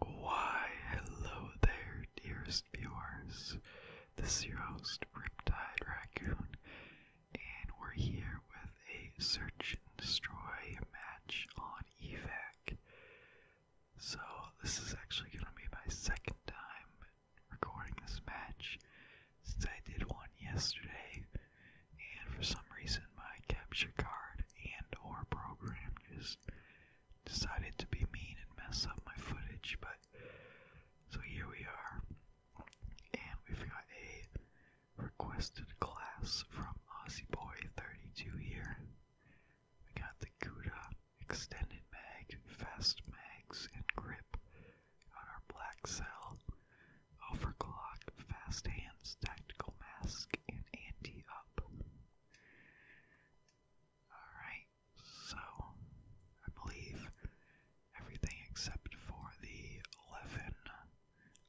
Why, hello there, dearest viewers. This is your host, Riptide Raccoon, and we're here with a search and destroy match on EVAC. So, this is actually going to be my second time recording this match since I did one yesterday, and for some reason, my capture card and or program just decided to be mean and mess up my footage, but so here we are. And we've got a requested class from Aussie Boy 32 here. We got the Kuda extended mag, fast mags, and grip on our black cell. Overclock, Fast Hands, Tactical Mask, and Anti-Up. Alright, so I believe everything except for the 11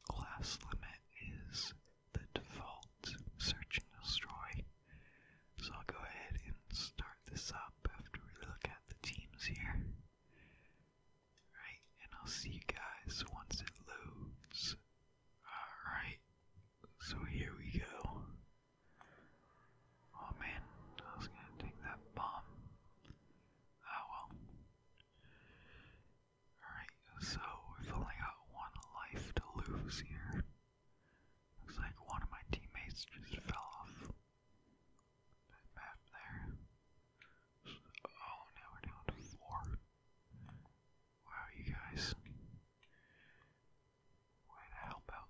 class limit is the default Search and Destroy. So I'll go ahead and start this up after we look at the teams here. Alright, and I'll see you guys once it loads. Alright, so here we go. Oh man, I was gonna take that bomb. Ah well. Alright, so we've only got one life to lose here. Looks like one of my teammates just fell off that map there. Oh, now we're down to four. Wow, you guys. Way to help oh.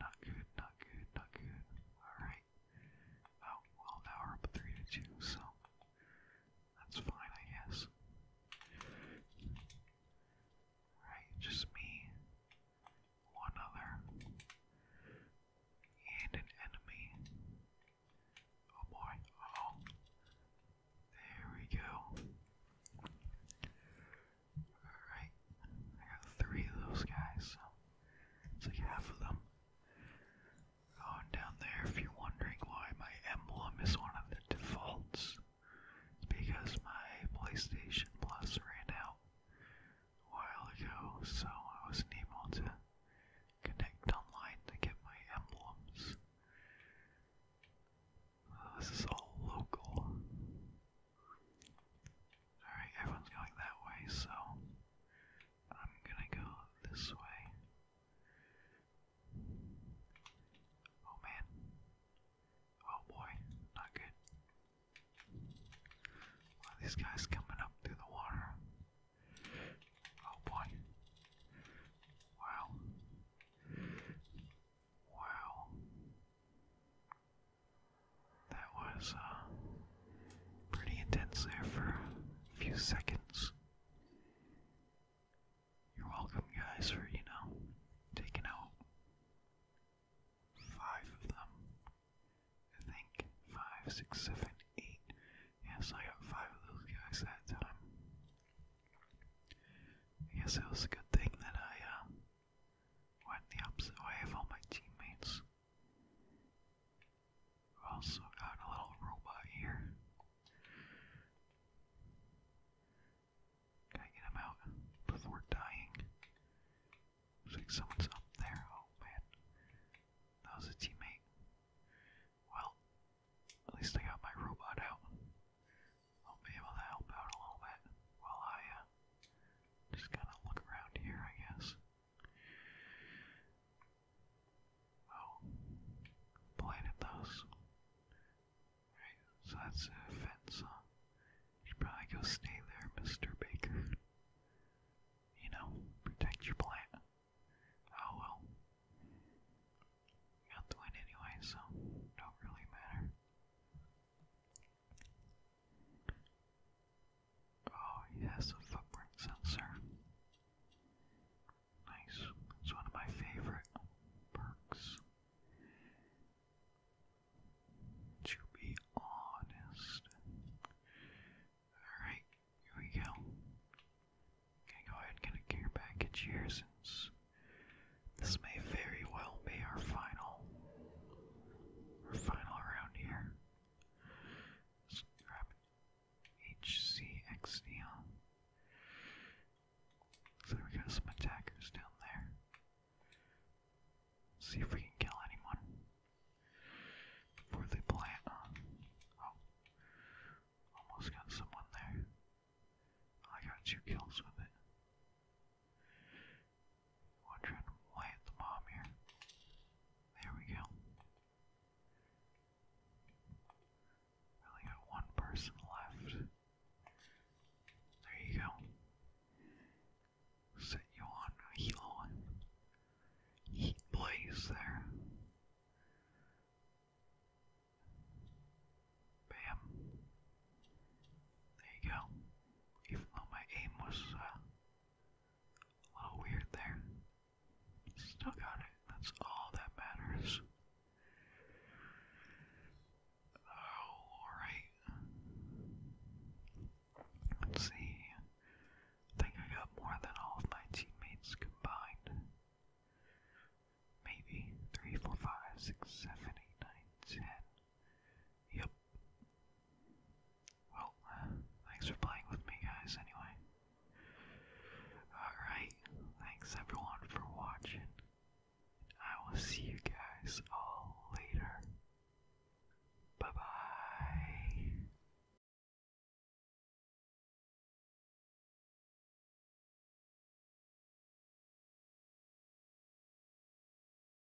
Not good, not good, not good. Alright. Oh, well, now we're up 3 to 2, so that's fine, I guess. Alright, just me one other, and an enemy. Oh boy, oh. There we go. Alright, I got three of those guys, it's like half of them. Going down there, if you're wondering why my emblem is one of the defaults, it's because my PlayStation Plus ran out a while ago, so I wasn't able to connect online to get my emblems. this is all local. Alright, everyone's going that way, so I'm gonna go this way. Oh man, Oh boy, not good. these guys coming up through the water. Oh boy. Wow. Wow. That was uh, pretty intense there for a few seconds. You're welcome, guys, for, you know, taking out five of them. I think five, six, seven, eight. Yeah, so I got five of those guys that time. I guess it was a good thing that I uh, went the opposite way of all my teammates. also got a little robot here Gotta get him out before dying. Looks like someone's up there. Oh man. That was a teammate. Well, at least I got my robot out. I'll be able to help out a little bit while I uh, just kind of look around here, I guess well, bladed those. Right, so that's a fence, huh? You probably go stay there, Mr. Baker. You know, protect your plant. Oh well. got the win anyway, so don't really matter. Oh, he has a footprint sensor. Nice. It's one of my favorite perks. To be honest. Alright, here we go. going go ahead get a gear package here since this may very well be our final our final round here. Let's grab HCX So we got some attackers down there. see if we can kill anyone before they plant. Uh, oh, almost got someone there. I got two kills with it. One to plant the bomb here. There we go only got one person left. There you go. Set you on a heat blaze there. Bam. There you go. Even though my aim was uh, a little weird there. Still got it. That's all that matters. Oh, alright. Let's see. I think I got more than all of my teammates combined. Maybe. 3, Yep. Well, uh, thanks for playing with me, guys, anyway. Alright, thanks everyone for watching. I will see you guys all later. Bye bye.